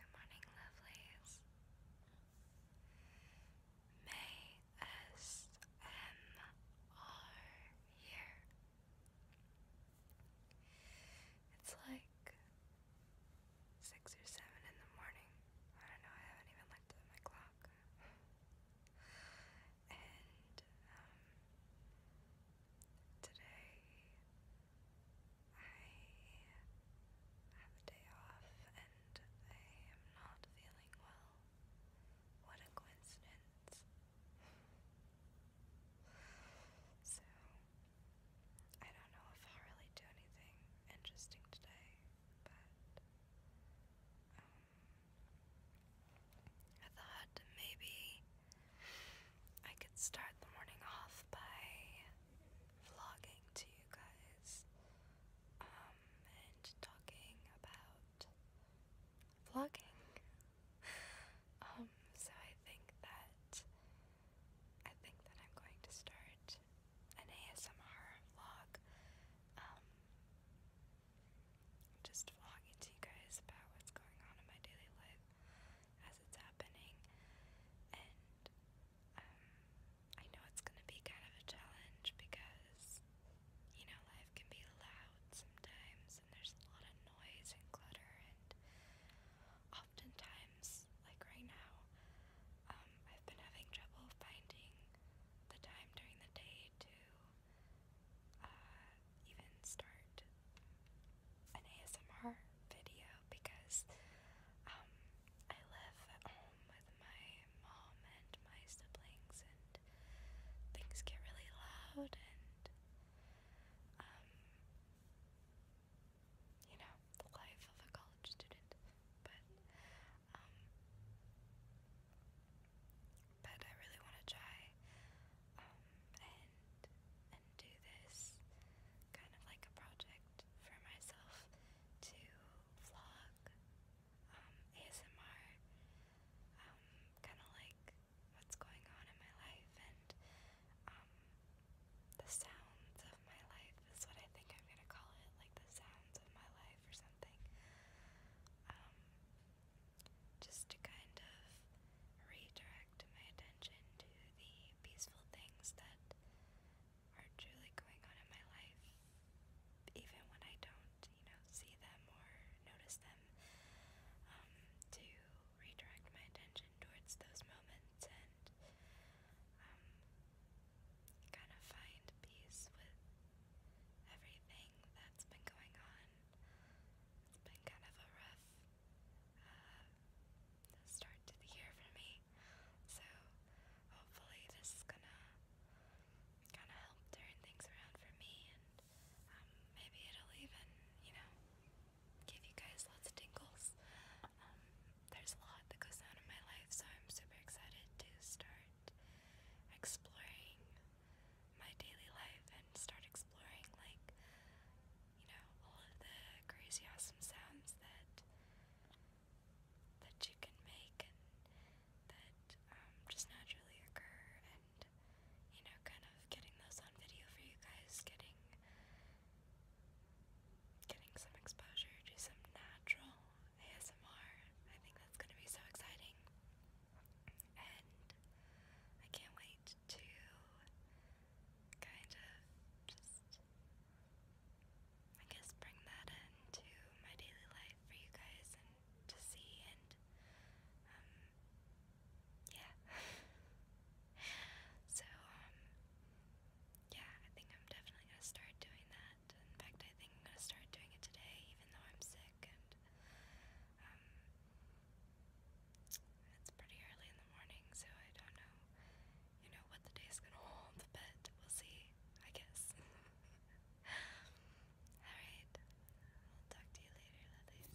Good morning, lovelies. May here. It's like six or seven in the morning. I don't know, I haven't even looked at my clock. and um, today I have a day off and I am not feeling well. What a coincidence. so, I don't know if I'll really do anything interesting today, but um, I thought maybe I could start the morning off by vlogging to you guys um, and talking about vlogging. um, so I think that I think that I'm going to start an ASMR vlog. Um, just vlogging to you guys about what's going on in my daily life as it's happening, and um, I know it's going to be kind of a challenge because you know life can be loud sometimes, and there's a lot of noise and clutter, and oftentimes, like right now, um, I've been having trouble finding the time during the day to uh, even start an ASMR video because um, I live at home with my mom and my siblings, and things get really loud, and um, you know, the life of a college student. But um, but I really want to try um, and do this kind of like a project for myself to vlog um, ASMR, um, kind of like what's going on in my life and um, the sounds of my life is what I think I'm gonna call it, like the sounds of my life or something. just to kind of redirect direct my attention to the peaceful things that are truly going on in my life, even when I don't, you know, see them or notice them, um, to redirect my attention towards those moments and um, kind of find peace with everything that's been going on. It's been kind of a rough uh, start to the year for me. So hopefully this is gonna kind of help turn things around for me, and um, maybe it'll even, you know, give you guys lots of tingles. Um, there's a lot that goes on in my life, so I'm super excited to start exploring my daily life and start exploring like you know, all of the crazy awesome sounds that that you can make and that um, just naturally occur and you know, kind of getting those on video for you guys, getting getting some exposure to some natural ASMR. I think that's gonna be so exciting. And I can't wait to kind of just, I guess, bring that into my daily life for you guys and to see and, um, yeah. so, um, yeah, I think I'm definitely gonna start doing that. In fact, I think I'm gonna start doing it today, even though I'm sick and, um, it's pretty early in the morning, so I don't know, you know, what the day's gonna hold, but we'll see, I guess. Alright, I'll talk to you later, lovelies.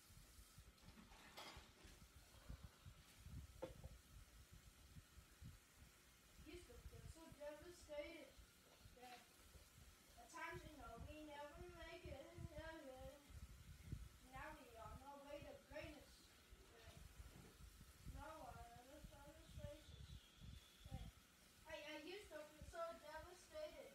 He's so devastated at times, you know, we never make it. Now we are on way to greatness. no one understands faces. I used to feel so devastated.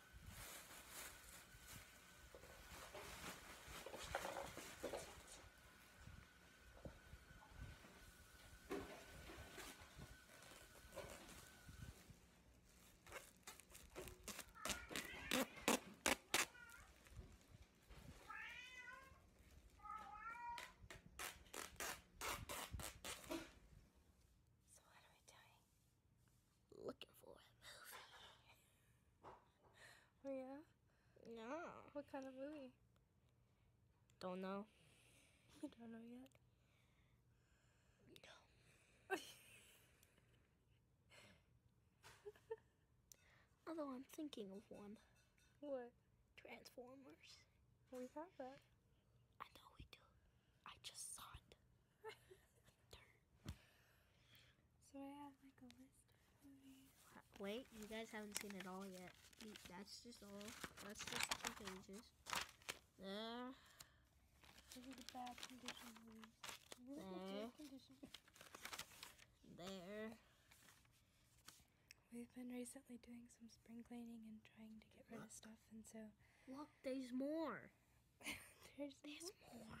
So, what are we doing? looking for a movie. oh, yeah? yeah. What kind of movie? Don't know. You don't know yet? No. Although I'm thinking of one. What? Transformers. We have that. I know we do. I just saw it so I have like a list uh, Wait, you guys haven't seen it all yet. That's just all. That's just two pages. There. There. There. We've been recently doing some spring cleaning and trying to get rid of stuff, and so. Look, there's more. there's, there's more.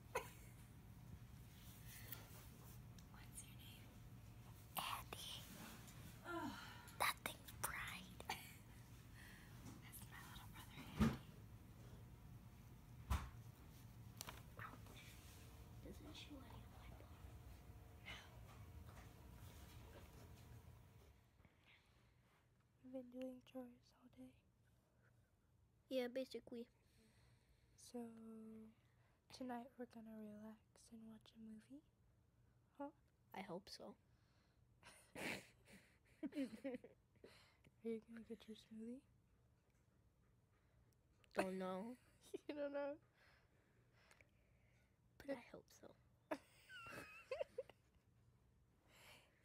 What's Andy. That thing's bright. That's my little brother, Andy. Doesn't show any of my No. You've been doing chores all day. Yeah, basically. So, tonight we're gonna relax and watch a movie? Huh? I hope so. Are you gonna get your smoothie? Don't know. you don't know? But I hope so.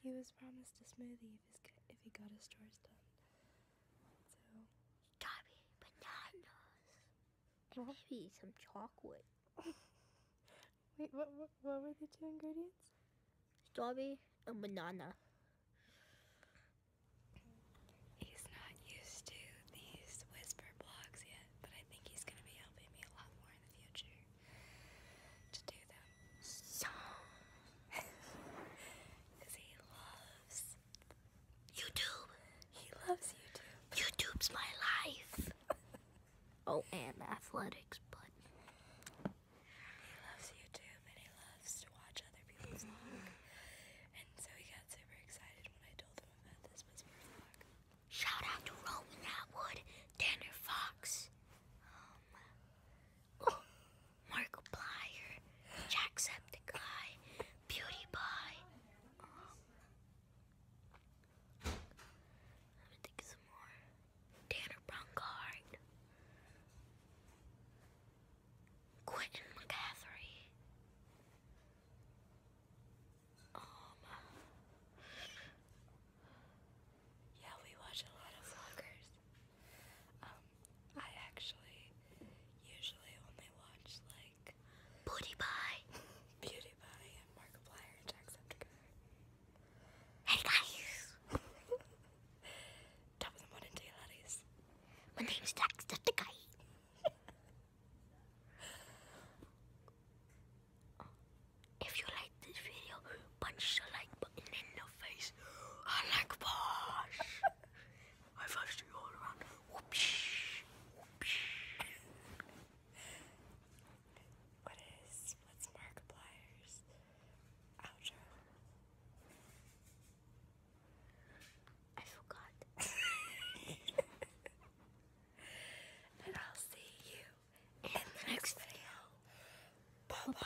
He was promised a smoothie if, he got his chores done. So. Strawberry bananas. And maybe some chocolate. Wait, what, what, were the two ingredients? Strawberry and banana. He's not used to these whisper blogs yet, but I think he's going to be helping me a lot more in the future to do them because he loves YouTube. He loves YouTube. YouTube's my life. oh, and athletics, but he loves YouTube and he loves to watch other people's vlog. And so he got super excited when I told him about this was my vlog. Shout out to Rowan Atwood, Tanner Fox. Um, Oh, Markiplier, Jacksepticeye, Beauty let me think some more. Tanner Bronkard, Quentin McCaffrey. Um, yeah, we watch a lot of vloggers. Um, I actually usually only watch like Booty Pie, and Markiplier and Jacksepticeye. Hey guys! Top of the morning to you, ladies. My name's Jacksepticeye. If you like this video, punch the like button in the face. I like boss. I fudged you all around. Whoopsh. What is, what's Markiplier's outro? I forgot. and I'll see you in the next video. Bye-bye.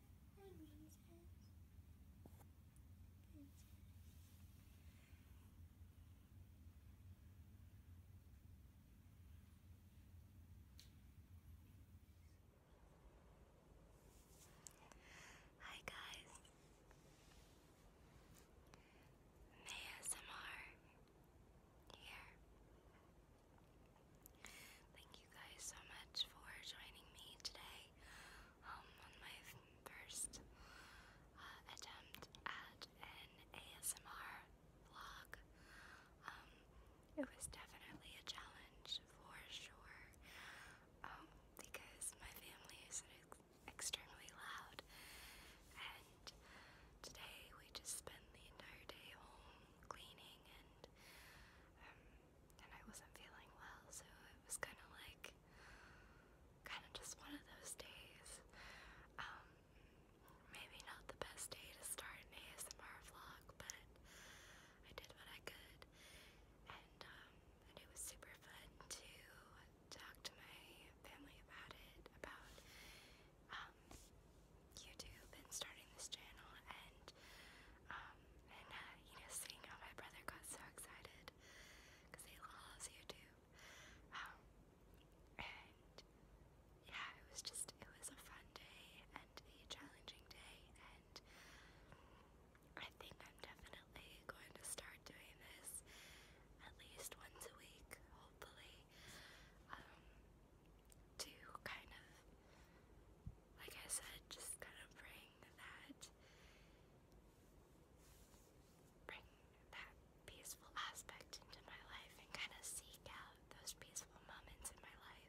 Hi, princess. guys. May here. Thank you guys so much for joining me today um, on my first uh, attempt at an ASMR vlog. Um, it was definitely a challenge for sure um, because my family is extremely loud and today we just spent the entire day home cleaning and and I wasn't feeling well, so it was kind of like, kind of just one of those days. Um, maybe not the best day to start an ASMR vlog, but I did what I could, um, and it was super fun to talk to my family about it, about um, YouTube and starting this channel, and um, and uh, you know, seeing how my brother got so excited because he loves YouTube. Um, and yeah, it was just, it was a fun day and a challenging day. And I think I'm definitely going to start doing this at least once a week, hopefully, um, to kind of like I said, just kind of bring that, bring that peaceful aspect into my life and kind of seek out those peaceful moments in my life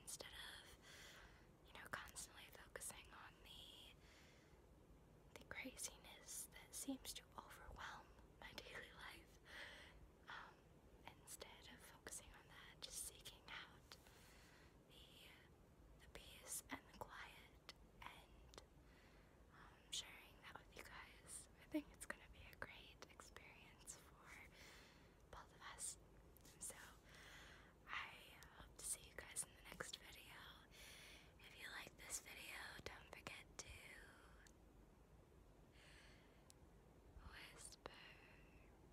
instead of, you know, constantly focusing on the the craziness that seems to overwhelm my daily life. Um, instead of focusing on that, just seeking out the the peace and the quiet and um, sharing that with you guys. I think it's gonna be a great experience for both of us. So I hope to see you guys in the next video. If you like this video, don't forget to whisper.